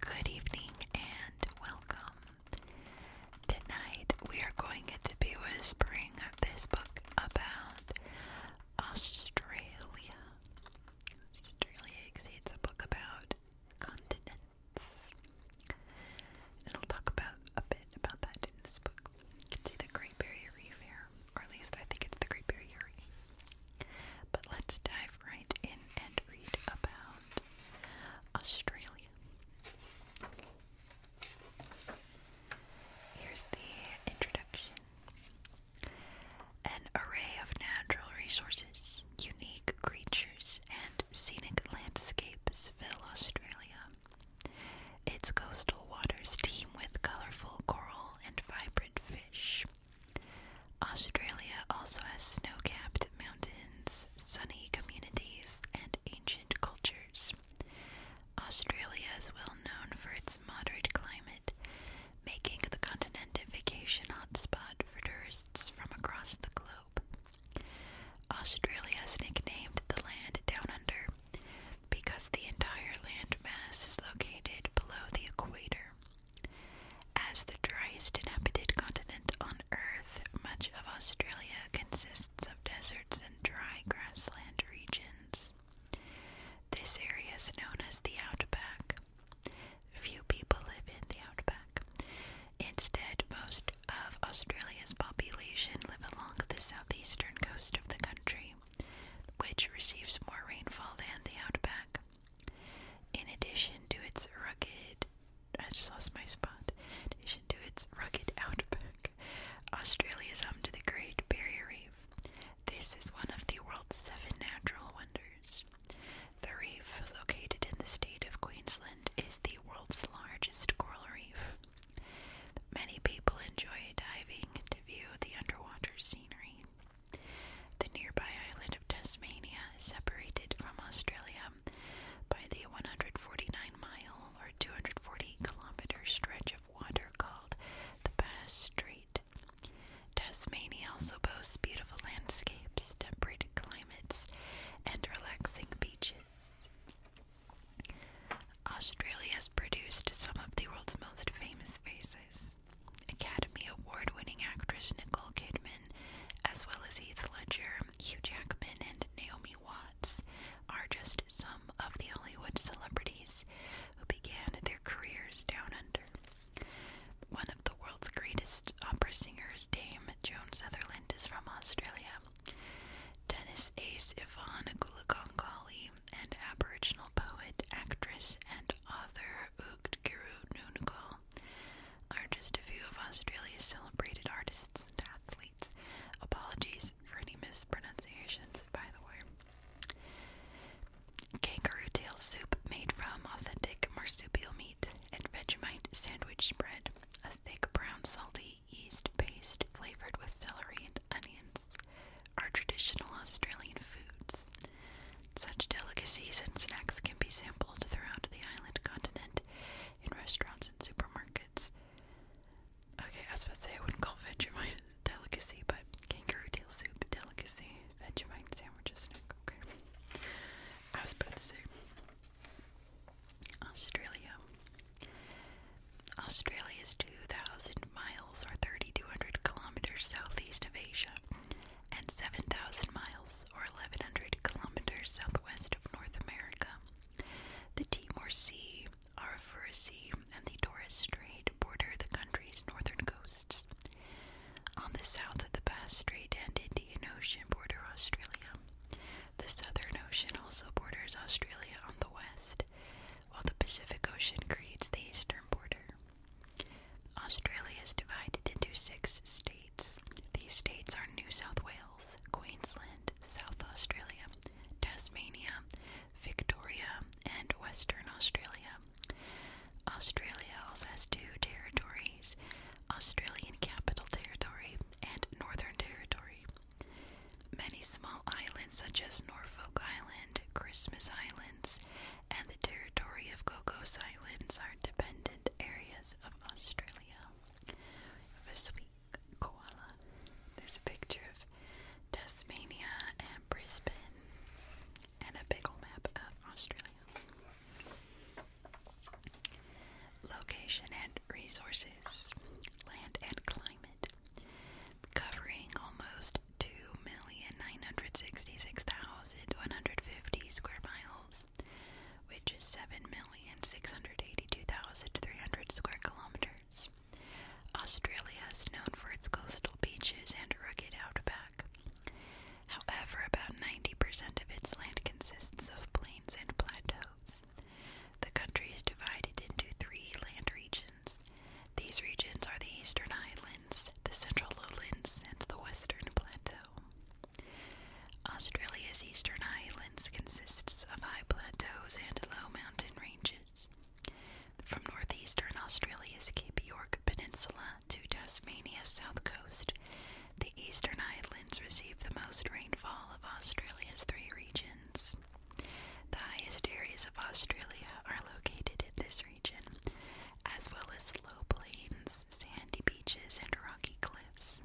Good evening and welcome. Tonight we are going to be whispering this book about Australia. Australia exceeds a book about continents. And it'll talk about a bit about that in this book. You can see the Great Barrier Reef here, or at least I think it's the Great Barrier Reef. But let's dive right in and read about Australia. Here's the introduction. An array of natural resources, unique creatures, and scenic landscapes fill Australia. Its coastal waters teem with colorful coral and vibrant fish. Australia also has snow capped mountains, sunny communities, and ancient cultures. Australia is well known for its moderate climate making the continent a vacation hotspot for tourists from across the globe. Australia is nicknamed the land down under because the entire land mass is located below the equator. As the driest inhabited continent on Earth, much of Australia consists of deserts and dry grassland regions. This area is known as the outback. Few people live in the outback. Instead, most of Australia's population live along the southeastern coast of the country, which receives more rainfall than the outback. In addition to its rugged, I just lost my spot. In addition to its rugged outback, Australia is home to the Great Barrier Reef. This is one of the world's seven natural wonders. The reef, located in the state of Queensland, is the world's largest coral reef. Many people enjoy diving to view the underwater scenery. The nearby island of Tasmania is separated from Australia by the 149 mile or 240 kilometer stretch of water called the Bass Strait. Tasmania also boasts beautiful landscapes, temperate climates, and relaxing beaches. Australia has produced some of the world's most famous faces. Academy Award winning actress Nicole Kidman, as well as Heath Ledger, Hugh Jackman, and Naomi Watts, are just some of the Hollywood celebrities who began their careers down under. One of the world's greatest opera singers, Dame Joan Sutherland, is from Australia. Tennis ace Yvonne Gulagongoli and Aboriginal poet, actress, and author Ugdgiru Nunukal are just a few of Australia's celebrated artists and athletes. Apologies for any mispronunciations, by the way kangaroo tail soup made from authentic marsupial meat, and Vegemite sandwich spread, a thick brown salty yeast paste flavored with celery and onions, are traditional Australian foods. Such delicacies and snacks can be sampled throughout the island continent in restaurants and supermarkets. Okay, I was about to say I wouldn't call Vegemite a delicacy, but kangaroo tail soup delicacy, Vegemite sandwich a snack. Okay. I was about to say Australia. Australia is 2,000 miles or 3,200 kilometers southeast of Asia and 7,000 miles or 1,100 kilometers southwest of North America. The Timor Sea, Arafura Sea, and the Torres Strait border the country's northern coasts. On the south of the Bass Strait and Indian Ocean border Australia. The Southern Ocean also borders Australia on the west, while the Pacific Ocean creates the eastern border. Australia is divided into six states. These states are New South Wales, Queensland, South Australia, Tasmania, Victoria, and Western Australia. Australia also has two territories Australian Capital Territory and Northern Territory. Many small islands, such as Norfolk Island, Christmas Islands, and the territory of Cocos Islands, are dependent areas of Australia. We a sweet koala. There's a picture of Tasmania and Brisbane, and a big old map of Australia. Location and resources, land and climate, covering almost 2,966,150 square miles, which is 7,682,300 square kilometers. Australia is known for its coastal beaches and rugged outback. However, about 90% of its land consists of plains and plateaus. The country is divided into three land regions. These regions are the Eastern Islands, the Central Lowlands, and the Western Plateau. Australia's Eastern Islands consists of high plateaus and low mountain ranges. From northeastern Australia's Cape York Peninsula to Tasmania's south coast. The eastern islands receive the most rainfall of Australia's three regions. The highest areas of Australia are located in this region, as well as low plains, sandy beaches, and rocky cliffs.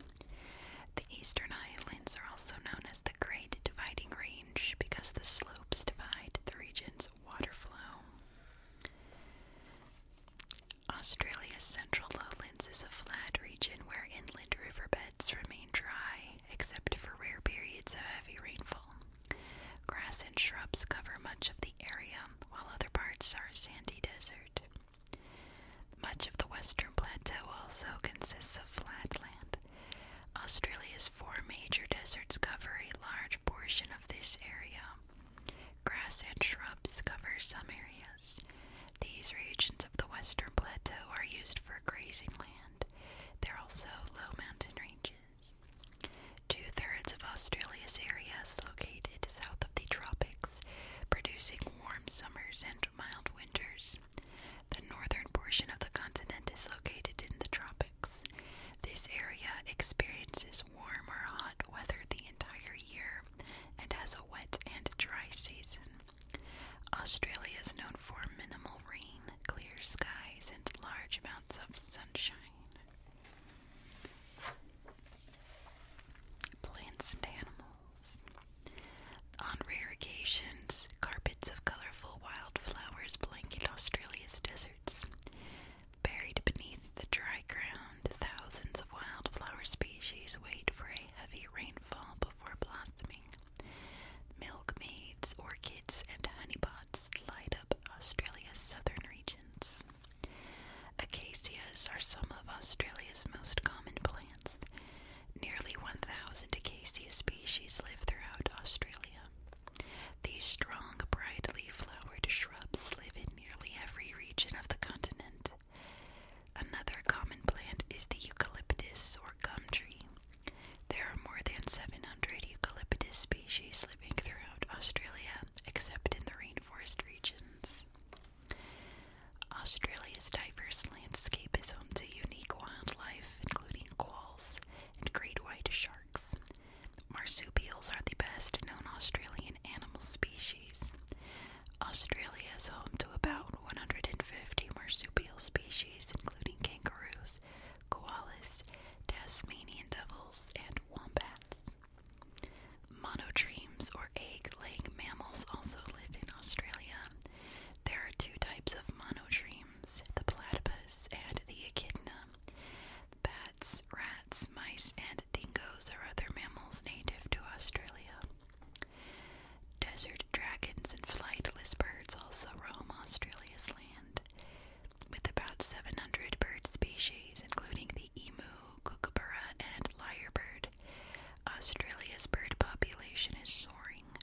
The eastern islands are also known as the Great Dividing Range because the slopes divide the region's water flow. Australia's central lowlands is a flat region where inland riverbeds remain dry, except for rare periods of heavy rainfall. Grass and shrubs cover much of the area, while other parts are sandy desert. Much of the western plateau also consists of flatland. Australia's four major deserts cover a large portion of this area, Grass and shrubs cover some areas. These regions of the western plateau are used for grazing land. There are also low mountain ranges. Two thirds of Australia's area is located south of the tropics, producing warm summers and mild winters. The northern portion of the continent is located in the tropics. This area experiences warm or hot weather the entire year and has a wet and dry season. Australia is known for minimal rain, clear skies, and large amounts of sunshine. Plants and animals. On rare occasions, carpets of colorful wildflowers blanket Australia's deserts. Buried beneath the dry ground, thousands of wildflower species wait for a heavy rainfall before blossoming. Milkmaids, orchids, and honeypots light up Australia's southern regions. Acacias are some of Australia's most common plants. Nearly 1,000 acacia species live throughout Australia. These strong, brightly flowered shrubs live in nearly every region of the continent. Another common plant is the eucalyptus or gum tree. There are more than 700 eucalyptus species living throughout Australia, except in the rainforest regions. Australia's diverse landscape is home to unique wildlife, including quolls and great white sharks, Marsupials are the best known Australian animal species. Australia is home to about 150 marsupial species, including kangaroos, koalas, Tasmanian devils, and wombats. Monotremes or egg laying mammals also live in Australia. There are two types of monotremes the platypus and the echidna. Bats, rats, mice, and dingoes are other mammals native to Australia. Desert dragons and flightless birds also roam Australia's land, with about 700 bird species, including the emu, kookaburra, and lyrebird. Australia's bird population is soaring.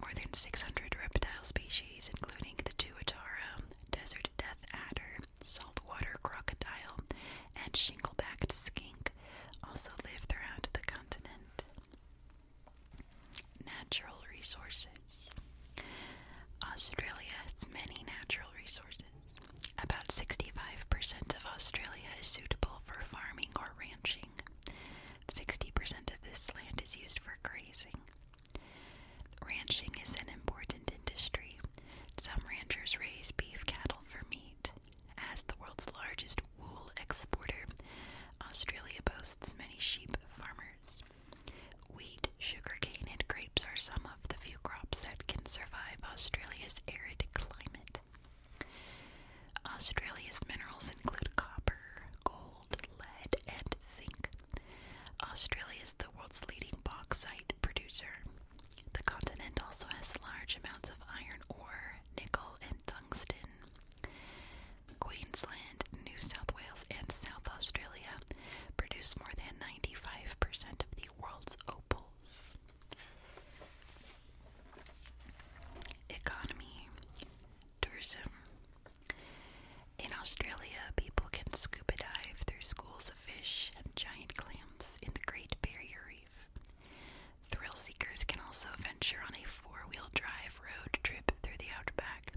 More than 600 reptile species, including the tuatara, desert death adder, saltwater crocodile, and shingle-backed skink also live throughout the continent. Natural resources. Australia has many natural resources. About 65% of Australia is suitable for farming or ranching. 60% of this land is used for grazing. Ranching is an important industry. Some ranchers raise beef cattle for meat. As the world's largest wool exporter, Australia boasts many sheep farmers. Wheat, sugarcane, and grapes are some of the few crops that can survive Australia's arid climate. Australia's minerals include copper, gold, lead, and zinc. Australia is the world's leading bauxite producer. The continent also has large amounts of iron ore, nickel, and tungsten. Queensland, New South Wales, and South Australia produce more than 95% of the world's opals. Economy Tourism In Australia, people can scuba dive through schools of fish and giant clams in the Great Barrier Reef. Thrill seekers can also venture on a four wheel drive road trip through the outback.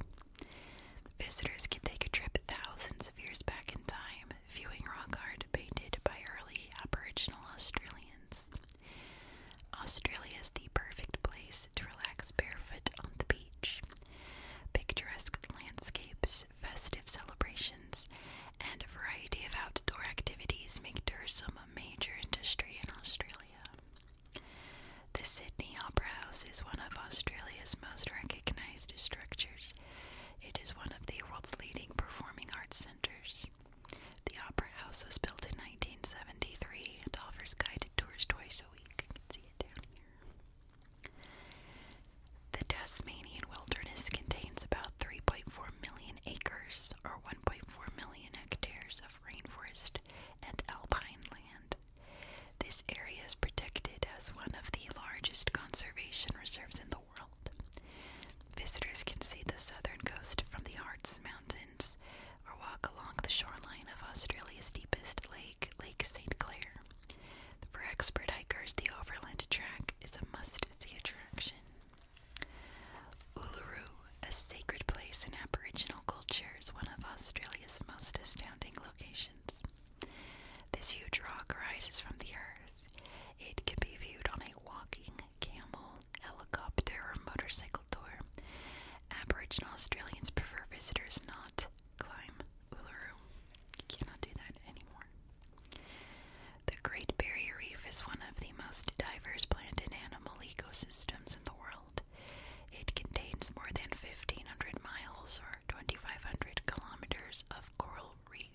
Visitors can take a trip thousands of years back in time, viewing rock art painted by early Aboriginal Australians. Australia is the perfect place to relax barefoot on the beach. Picturesque landscapes festive celebrations, and a variety of outdoor activities make tourism a major industry in Australia. The Sydney Opera House is one of Australia's most recognized structures. It is one of the world's leading performing arts centers. The Opera House was built in 1973 and offers guided tours twice a week. The Tasmanian wilderness contains about 3.4 million acres or 1.4 million hectares of rainforest and alpine land. This area is protected as one of the largest conservation reserves in the world. Visitors can see the southern coast from the Harz Mountains or walk along the shoreline of Australia's deepest lake, Lake St. Clair. For expert hikers, the Overland Track is a must-see attraction. Uluru, a sacred place in Aboriginal culture, is one of Australia's most astounding locations. This huge rock rises from the earth. It can be viewed on a walking, camel, helicopter, or motorcycle tour. Aboriginal Australians prefer visitors not climb Uluru. You cannot do that anymore. The Great Barrier Reef is one of the most diverse plant and animal ecosystems in the world. It contains more than 1,500 miles or 2,500 kilometers of coral reef.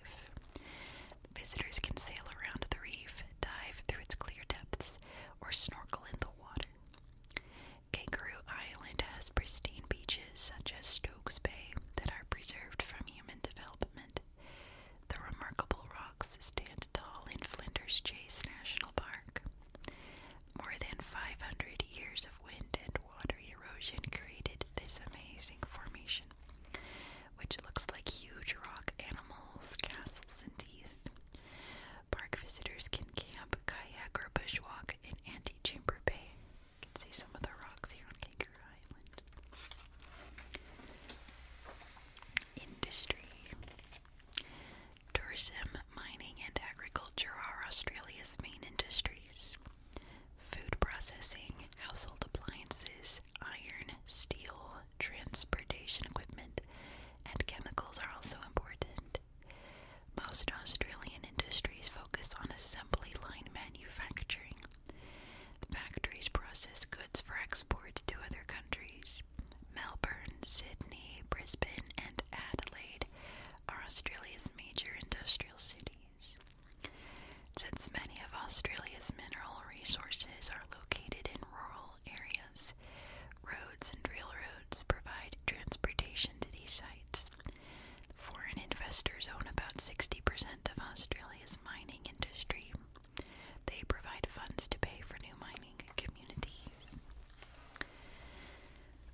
Visitors can sail around the reef, dive through its clear depths, or snorkel in the water. Kangaroo Island has pristine beaches such as Stokes Bay that are preserved from human development. The remarkable rocks stand tall in Flinders Chase National Park. More than 500 years of wind and water erosion created this amazing formation, which looks like huge rock animals, castles, and teeth. Park visitors can camp, kayak, or bushwalk in Antechamber Bay. You can see some of the rocks here on Kangaroo Island. Industry. Tourism, mining, and agriculture are Australia's main industries. Food processing, household appliances, iron, steel, transportation equipment, and chemicals are also important. Most Australian industries focus on assembly line manufacturing. factories process goods for export to other countries. Melbourne, Sydney, Brisbane, and Adelaide are Australia's major industrial cities. Since many of Australia's mineral resources are located in rural areas, roads and railroads provide transportation to these sites. Foreign investors own about 60% of Australia's mining industry. They provide funds to pay for new mining communities.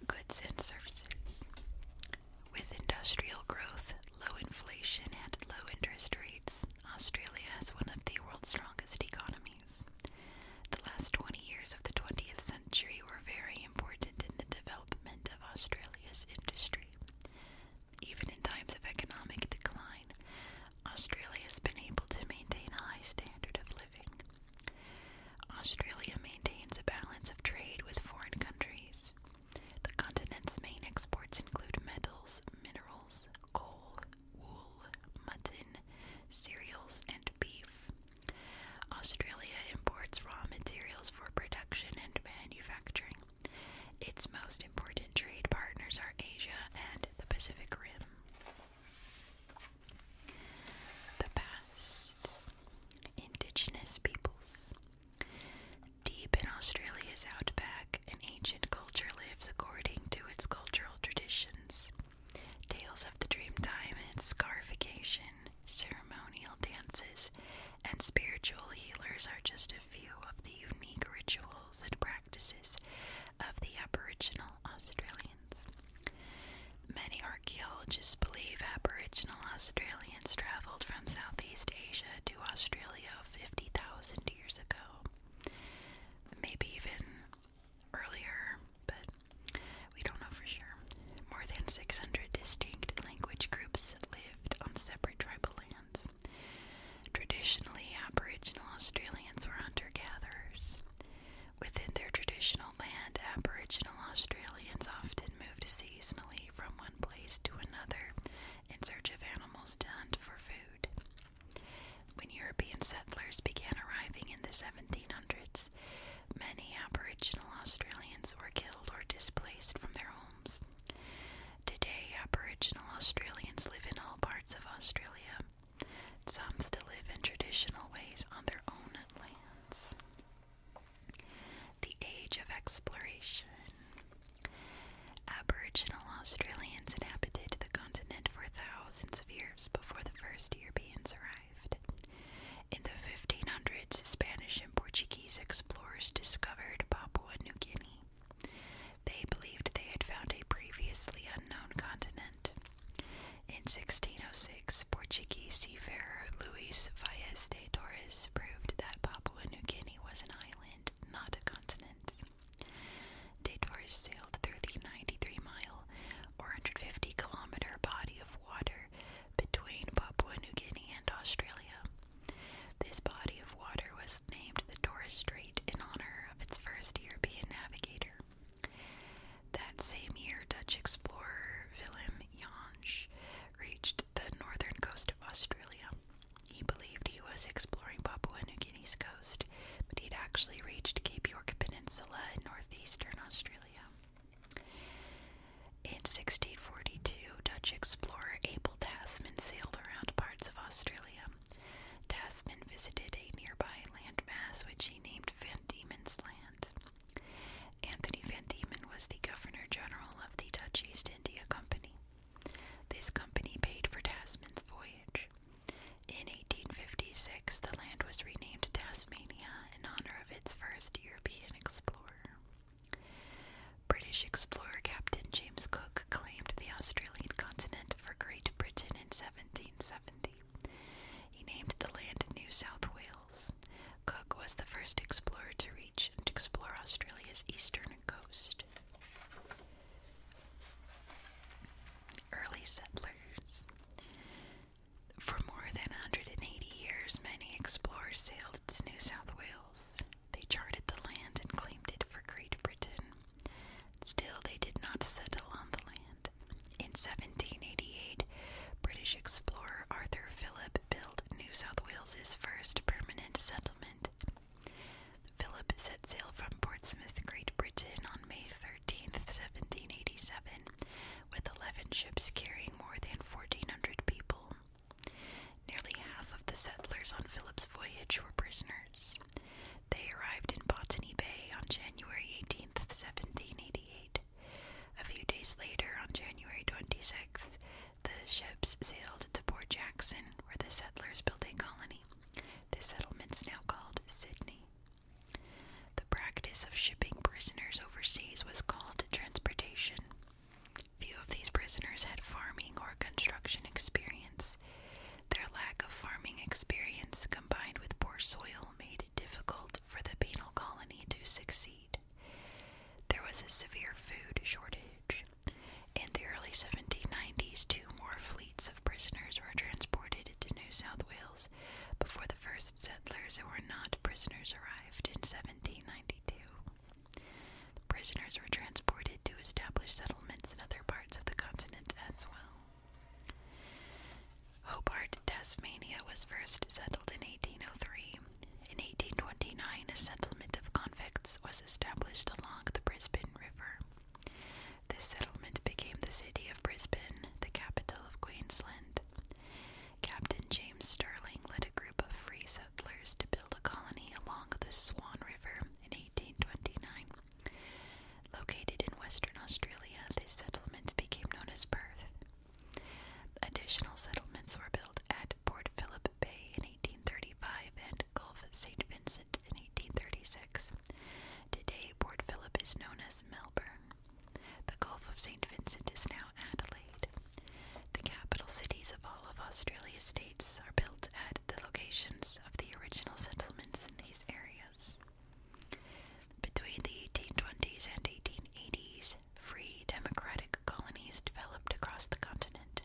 Goods and services. With industrial growth, low inflation, and low interest rates, Australia has one of the world's strongest economies. The last 20 years of the 20th century were very important in the development of Australia's industry. Even in times of economic decline, Australia has been able to maintain a high standard of living. Australia maintains a balance of trade with foreign countries. The continent's main exports include metals, minerals, coal, wool, mutton, cereals, and beef. Australia imports raw materials for production and manufacturing. Its most important trade partners are Asia and the Pacific Rim. The past. Indigenous peoples. Deep in Australia's outback, an ancient culture lives according to its cultural traditions. Tales of the dreamtime and scarification, ceremonial dances, and spiritual healers are just a few of the unique rituals and practices of the Aboriginal Australians. Many archaeologists believe Aboriginal Australians travelled from Southeast Asia to Australia 50,000 years ago, maybe even earlier, but we don't know for sure. More than 600 distinct language groups live on separate tribal lands. Traditionally, Aboriginal Australians were hunter gatherers. Within their traditional land, Aboriginal Australians often moved seasonally from one place to another in search of animals to hunt for food. When European settlers began arriving in the 1700s, many Aboriginal Australians were killed or displaced from their homes. Today, Aboriginal Australians live in all parts of Australia. Some still live in traditional ways on their own lands. The Age of Exploration. Aboriginal Australians inhabited the continent for thousands of years before the first Europeans arrived. In the 1500s, Spanish Portuguese explorers discovered Papua New Guinea. They believed they had found a previously unknown continent. In 1606, Portuguese seafarer Luis Vaz de Torres proved that Papua New Guinea was an island, not a continent. De Torres sailed through the 93 mile or 150 kilometer body of water between Papua New Guinea and Australia this body of water was named the Torres Strait in honor of its first European navigator. That same year, Dutch explorer Willem Jansch reached the northern coast of Australia. He believed he was exploring Papua New Guinea's coast, but he'd actually reached Cape York Peninsula in northeastern Australia. In 1642, Dutch explorer Abel Tasman sailed around parts of Australia. Tasman visited a nearby landmass which he named Van Diemen's Land. Anthony Van Diemen was the Governor General of the Dutch East India Company. This company paid for Tasman's voyage. In 1856, the land was renamed Tasmania in honor of its first European explorer. British explorer Captain James Cook claimed the Australian continent for Great Britain in 1770. He named the land New South Wales. Cook was the first explorer to reach and explore Australia's eastern coast. Early settlers. For more than 180 years, many explorers sailed to New South Wales. They charted the land and claimed it for Great Britain. Still, they did not settle on the land. In 1788, British explorer Arthur Phillip built New South Wales's first permanent settlement. Philip set sail from Portsmouth, Great Britain on May 13, 1787, with 11 ships carrying more than 1,400 people. Nearly half of the settlers on Philip's voyage were prisoners. They arrived in Botany Bay on January eighteenth, 1788. A few days later, on January 26th, the ships sailed to Port Jackson, where the settlers built a colony. The settlement's now called Sydney. The practice of shipping prisoners overseas was called transportation. Few of these prisoners had farming or construction experience. Their lack of farming experience combined with poor soil made it difficult for the penal colony to succeed. There was a severe food shortage. In the early 1790s, two more fleets of prisoners were transported to New South Wales before the first settlers who were not prisoners arrived in 1792. The prisoners were transported to establish settlements in other parts of the continent as well. Hobart, Tasmania was first settled in 1803. In 1829, a settlement of convicts was established along the Brisbane River. This settlement became the city of Brisbane, the capital of Queensland. Captain James Stirling led a group of free settlers to build a colony along the Swan River in 1829. Located in Western Australia, this settlement became known as Perth. Additional settlements were built at Port Phillip Bay in 1835 and Gulf St. Vincent in 1836. Today, Port Phillip is known as Melbourne. The Gulf of St. Vincent is now Adelaide. The capital cities of all of Australia's states are built at the locations of the original settlements in these areas. Between the 1820s and 1880s, free democratic colonies developed across the continent.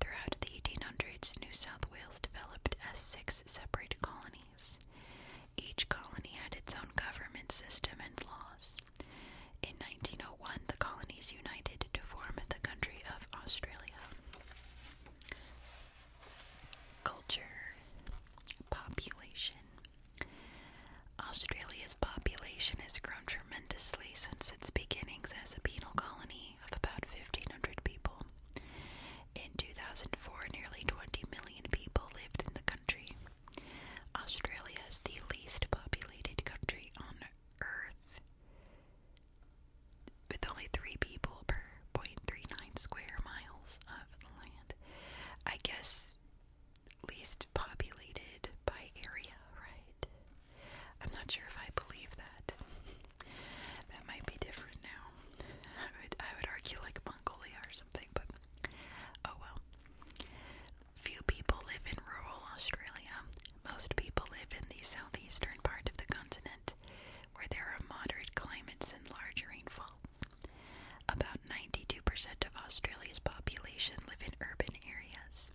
Throughout the 1800s, New South Wales developed as six separate colonies. Each colony had its own government system and laws. In 1901, the colonies united to form the country of Australia. Culture, population. Australia's population has grown tremendously since its beginnings as a penal colony of about 1,500 people. In 2004, nearly 20 million people lived in the country. Australia is the least populated country on Earth, with only three people per point three nine square miles of land. I guess least populated by area, right? I'm not sure if I believe that. That might be different now. I would I would argue like Mongolia or something, but oh well. Few people live in rural Australia. Most people live in the southeastern part of the continent, where there are moderate climates and large rainfalls. About 92% of Australia's population live in urban areas.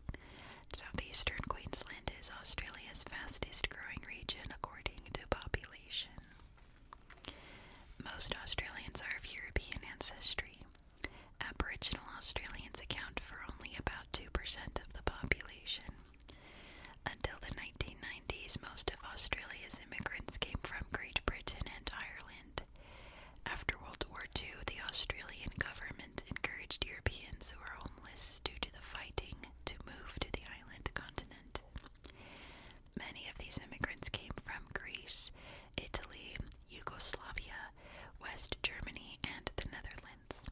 Southeastern Queensland is Australia's fastest growing region according to population. Most Australians are of European ancestry. Aboriginal Australians account for only about 2% of the population. Until the 1990s, most of Australia's immigrants came from Great Britain and Ireland. After World War II, the Australian government encouraged Europeans who were homeless due to the fighting to move to the island continent. Many of these immigrants came from Greece, Italy, Yugoslavia, West Germany, and the Netherlands.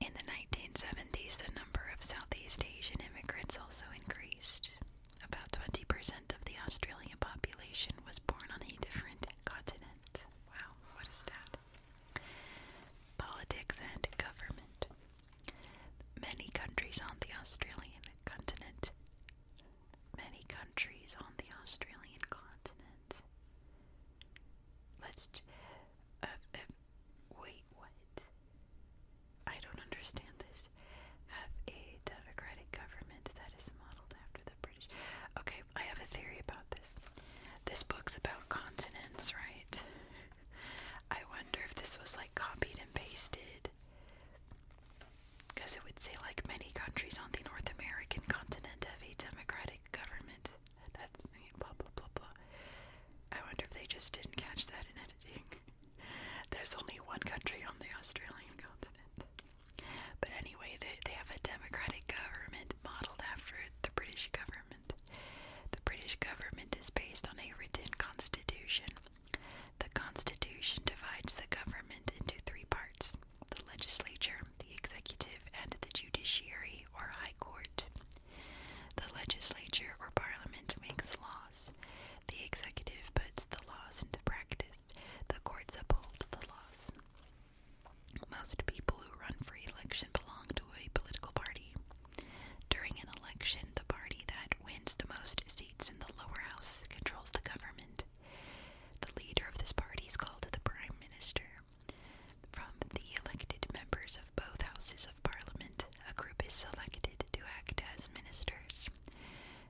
In the 1970s, the number of Southeast Asian immigrants also increased. About 20% of the Australian population was born on a different continent. Wow, what a stat! Politics and government. Many countries on the Australian continent many countries on the Australian continent. Let's. Uh, uh, wait, what? I don't understand this. Have a democratic government that is modeled after the British. Okay, I have a theory about this. This book's about continents, right? I wonder if this was like copied and pasted because it would say, like many countries on the North American continent, have a democratic government. That's blah blah blah blah. I wonder if they just didn't catch that in editing. There's only one country on the Australian continent. But anyway, they, they have a democratic government modeled after the British government. The British government is based on a written constitution. The constitution divides the government into three parts the legislature, the executive, and the judiciary or high court. The legislature or parliament makes laws. The executive puts the laws into practice. The courts uphold the laws. Most people who run for election belong to a political party. During an election, the party that wins the most seats in the lower house controls the government. The leader of this party is called the Prime Minister. From the elected members of both houses of parliament, a group is selected to act as ministers.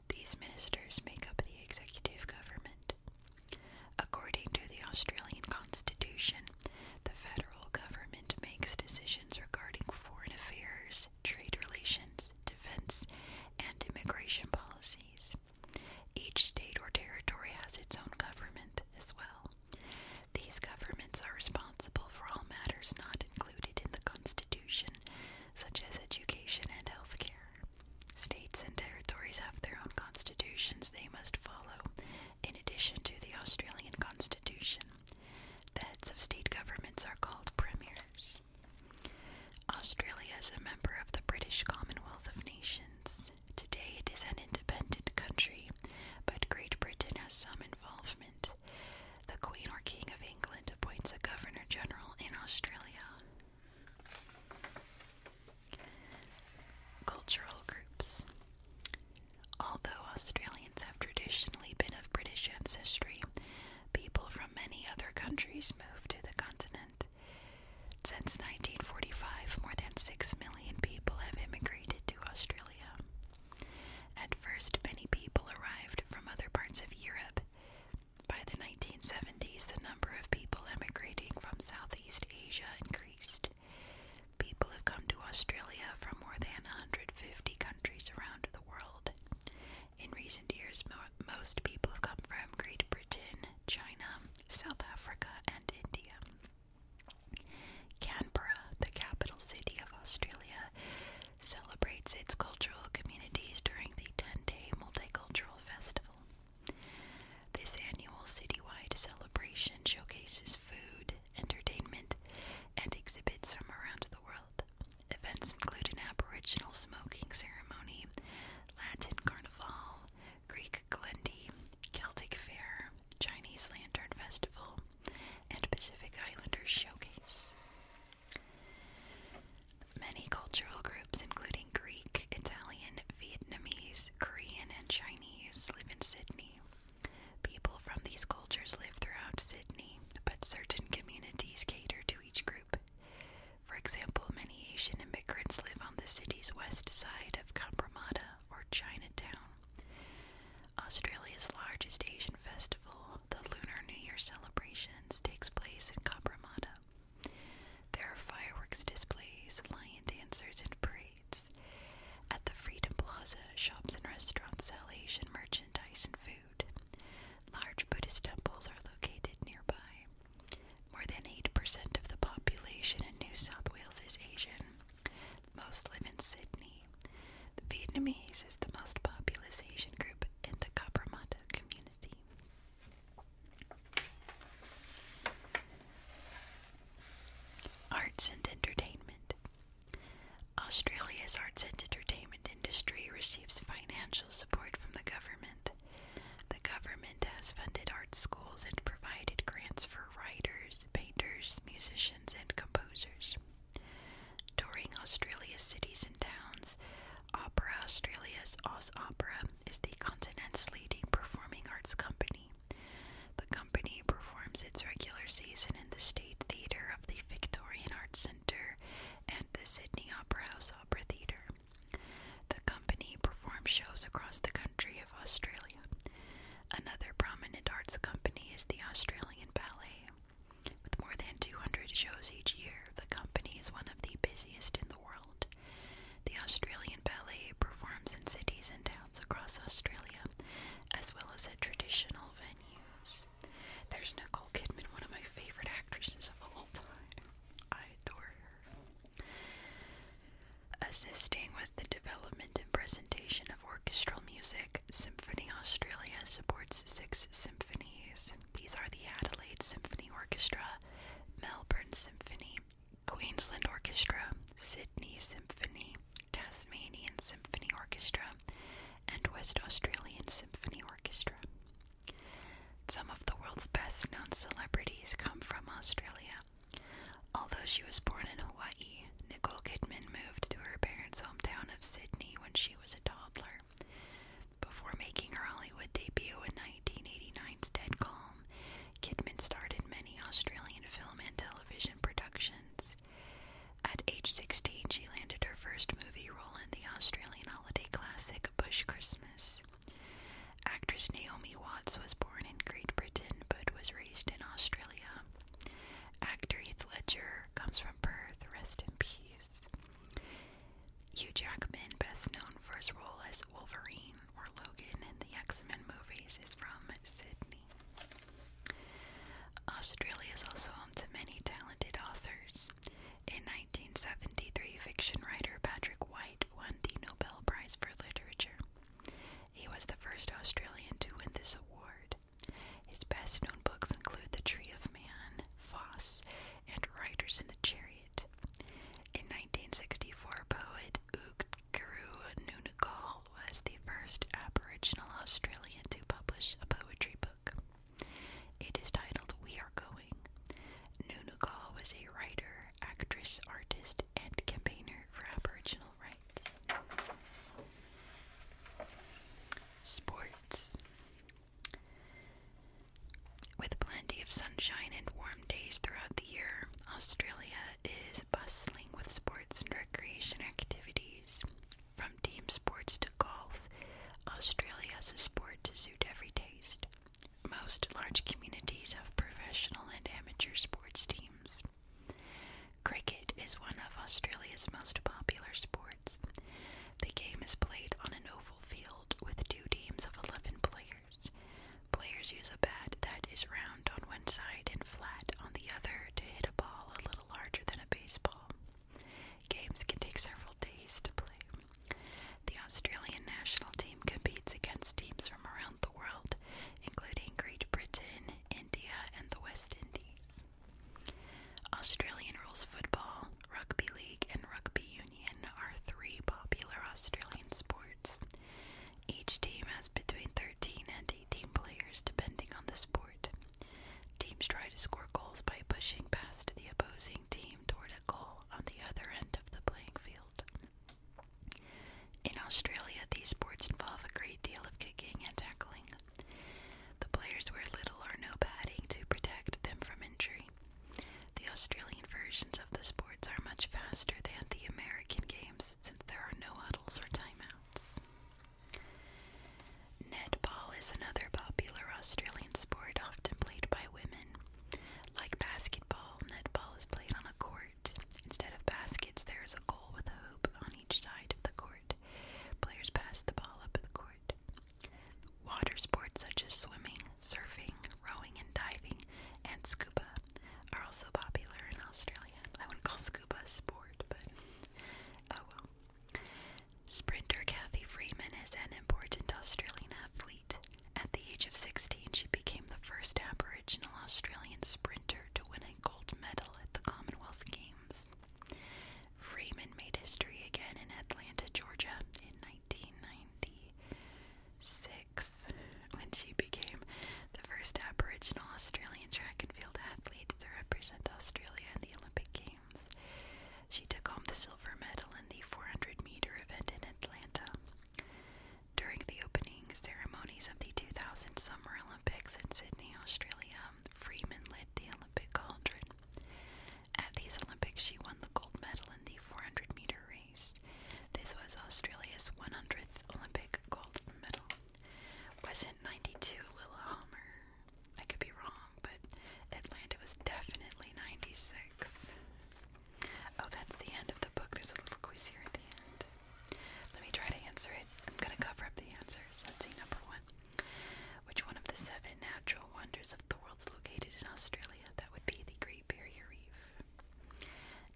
These ministers make up the executive government. According to the Australian Constitution, the federal government makes decisions regarding foreign affairs, trade relations, defense, and immigration policies. Each state or territory has its own government as well. These governments are responsible for all matters not included in the Constitution, such as education and health care. States and territories have their own constitutions they must follow, in addition to the Australian Constitution. The heads of state governments are called premiers. Australia is a member of the British Commonwealth of Nations. Today it is an independent country, but Great Britain has some involvement. The Queen or King of England appoints a Governor General in Australia. Cultural groups. Although Australians have traditionally been of British ancestry, people from many other countries move to the continent. Since 1945, more than 6 million people have immigrated to Australia. At first, many people arrived from other parts of Europe. By the 1970s, the number of people immigrating from Southeast Asia increased. People have come to Australia from more than 150 countries around the world. In recent years, most people have come from Great Britain, China, South Africa, and India. Canberra, the capital city of Australia, celebrates its cultural communities during the 10 day multicultural festival. This annual citywide celebration showcases food, entertainment, and exhibits from around the world. Events include an Aboriginal smoking ceremony, Latin carnival, Greek Glendy, Celtic Fair, Chinese Lantern Festival, and Pacific Islanders Showcase. Many cultural groups, including Greek, Italian, Vietnamese, Korean, and Chinese, live in Sydney. People from these cultures live throughout Sydney, but certain communities cater to each group. For example, many Asian immigrants live on the city's west side of Compromatta or Chinatown. Australia's largest Asian festival, the Lunar New Year celebrations, takes place in Compromatta. There are fireworks displays, lion dancers, and parades. At the Freedom Plaza, shops and restaurants sell Asian merchandise and food. Large Buddhist temples are located nearby. More than 8% of the population in New South Wales is Asian. Most live in Sydney. The Vietnamese is the most populous Asian group in the Cabramatta community. Arts and entertainment. Australia's arts and entertainment industry receives financial support from the government the government has funded art schools and provided grants for writers, painters, musicians, and composers. Touring Australia's cities and towns, Opera Australia's Oz Opera is the continent's leading performing arts company. The company performs its regular season in the State Theatre of the Victorian Arts Centre and the Sydney Opera House Opera Theatre. The company performs shows across the country of Australia. Another prominent arts company is the Australian Ballet. With more than 200 shows each year, the company is one of the busiest in the world. The Australian Ballet performs in cities and towns across Australia, as well as at traditional venues. There's Nicole Kidman, one of my favorite actresses of all time. I adore her. Assisting with the development and presentation of orchestral music, Symphony Australia supports six symphonies. These are the Adelaide Symphony Orchestra, Melbourne Symphony, Queensland Orchestra, Sydney Symphony, Tasmanian Symphony Orchestra, and West Australian Symphony Orchestra. Some of the world's best known celebrities come from Australia. Although she was born in Hawaii, Nicole Kidman moved to her parents' hometown of Sydney when she was a toddler. Before making her Hollywood debut in 1989's Dead Calm, Kidman starred in many Australian film and television productions. At age 16, she landed her first movie role in the Australian holiday classic Bush Christmas. Actress Naomi Watts was born in Great Britain but was raised in Australia. Actor Heath Ledger comes from Perth, rest in peace. Hugh Jackman, best known for his role as Wolverine or Logan in the X Men movies, is from Sydney. Australia is also home to many talented authors. In in 1973, fiction writer Patrick White won the Nobel Prize for Literature. He was the first Australian to win this award. His best known books include The Tree of Man, Foss, and Riders in the Chariot. In 1964, poet Ugkuru Nunukal was the first Aboriginal Australian to publish a poetry book. It is titled We Are Going. Nunukal was a writer, actress, artist, and campaigner for Aboriginal rights. Sports. With plenty of sunshine and warm days throughout the year, Australia is bustling with sports and recreation activities. From team sports to golf, Australia has a sport to suit every taste. Most large communities have professional and amateur sports teams. Cricket is one of Australia's most popular sports. The game is played on an oval field with two teams of 11 players. Players use a bat that is round on one side and flat on the other to hit a ball a little larger than a baseball. Games can take several days to play. The Australian national team competes against teams from around the world, including Great Britain, India, and the West Indies. Australian rules football, rugby league, and rugby union are three popular Australian sports. Each team has between 13 and 18 players depending on the sport. Teams try to score goals by pushing past the opposing team toward a goal on the other end of the playing field. In Australia, these sports involve a great deal of kicking and tackling. The players wear little or no padding to protect them from injury. The Australian versions of the sports are much faster than the American games since there are no huddles or timeouts. Netball is another popular Australian sport often played by women. Like basketball, netball is played on a court. Instead of baskets, there is a goal with a hoop on each side of the court. Players pass the ball up the court. Water sports such as swimming, surfing, rowing, and diving, and scuba are also popular in Australia. I wouldn't call scuba a sport, but oh well. Sprinter Kathy Freeman is an important Australian athlete. At the age of 16, she became the first Aboriginal Australian sprinter to win a gold medal at the Commonwealth Games. Freeman made history again in Atlanta, Georgia in 1996 when she became the first Aboriginal Australian track and field athlete to represent Australia in the Olympic Games. She took home the silver medal in the 400 meter event in Atlanta during the opening ceremonies of the 2000 Summer Olympics in Sydney, Australia, Freeman led the Olympic cauldron. At these Olympics, she won the gold medal in the 400 meter race. This was Australia's 100th Olympic gold medal. Wasn't 92 Lila Homer? I could be wrong, but Atlanta was definitely 96. Oh, that's the end of the book. There's a little quiz here at the end. Let me try to answer it. I'm going to cover up the answers. Let's see, number one. Which one of the seven natural wonders of the world's located in Australia? That would be the Great Barrier Reef.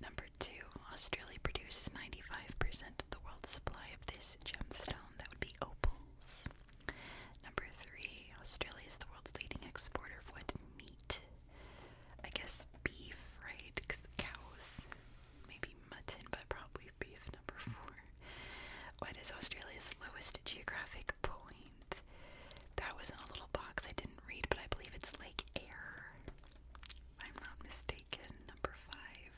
Number two, Australia produces 95% of the world's supply of this gemstone. That would be opals. Number three, Australia is the world's leading exporter of what meat? I guess beef, right? Because cows. Maybe mutton, but probably beef number four. What is Australia's lowest geographic point? That was in a little box I didn't read, but I believe it's Lake Eyre. I'm not mistaken. Number five.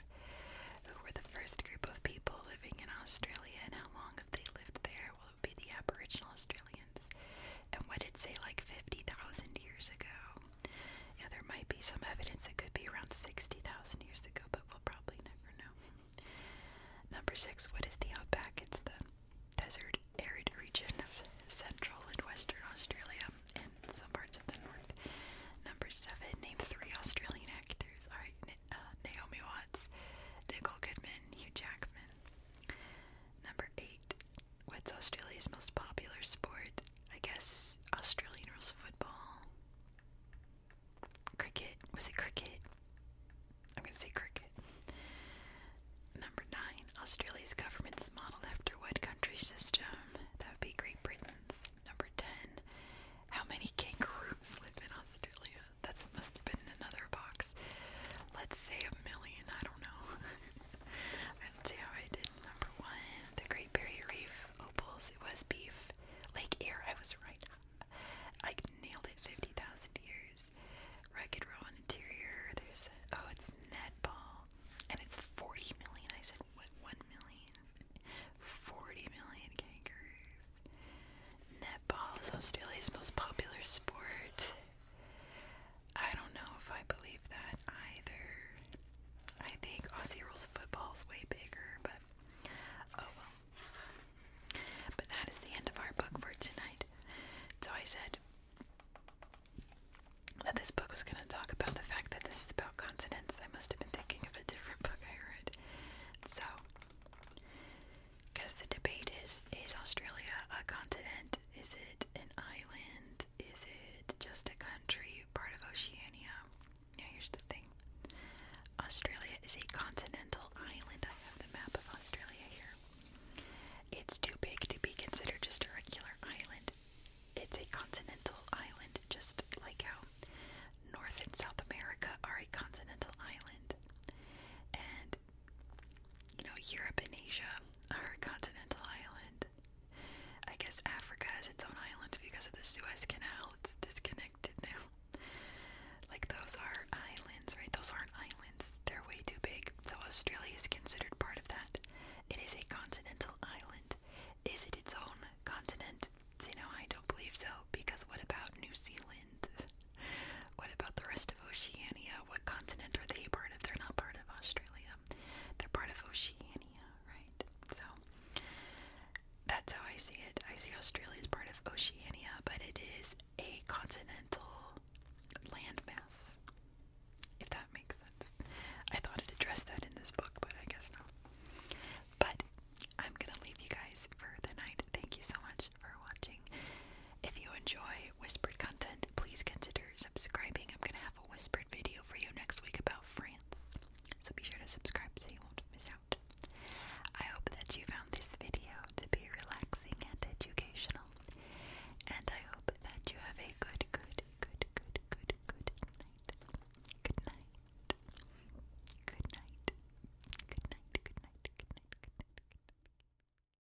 Who were the first group of people living in Australia and how long have they lived there? be the Aboriginal Australians. And what did say like 50,000 years ago? Yeah, there might be some evidence that could be around 60,000 years ago, but we'll probably never know. Number six, what is the outback? It's the desert arid region of central and western Australia and some parts of the north. Number seven, name three Australian actors. All right, uh, Naomi Watts, Nicole Kidman, Hugh Jackman. Number eight, what's Australia's most popular sport? I guess Australian rules football. Cricket. Was it cricket? I'm going to say cricket. Number nine. Australia's government's modeled after what country system? That would be Great Britain's. Number ten. How many kangaroos live in Australia? That must have been in another box. Let's say a million. I don't know. let's see how I did. Number one, the Great Barrier Reef opals. It was beef. Lake air, I was right. I nailed it 50,000 years. Rugged roll interior. There's Oh, it's netball. And it's 40 million. I said, what? 1 million? 40 million kangaroos. Netball is Australia's most popular sport. I don't know if I believe that either. I think Aussie rules football is way bigger, but oh well. But that is the end of our book for tonight. So I said that this book was going to talk about the fact that this is about continents. I must have been thinking of a different book I read. So, because the debate is is Australia a continent? Is it an island? Is it just a country, part of Oceania? Now, here's the thing Australia is a continental island. I have the map of Australia here. It's too big to be considered just a regular island. It's a continental island, just like how North and South America are a continental island. And you know, Europe and Asia are continental island. I guess Africa is its own island because of the Suez Canal. It's disconnected now. Like those are islands, right? Those aren't islands. They're way too big. So Australia is considered part of that. It is a continental island. Is it its own continent? You know, I don't believe so because what about New Zealand? what about the rest of Oceania. What continent are they part of? They're not part of Australia. They're part of Oceania, right? So that's how I see it. I see Australia as part of Oceania, but it is a continental landmass. If that makes sense. I thought I'd address that in this book, but I guess not. But I'm gonna leave you guys for the night. Thank you so much for watching. If you enjoy whispered content, please consider subscribing. I'm gonna have a whispered video for you next week about France, so be sure to subscribe so you won't miss out. I hope that you found this video to be relaxing and educational, and I hope that you have a good, good, good, good, good, good night. Good night. Good night. Good night. Good night. Good night. Good night. night.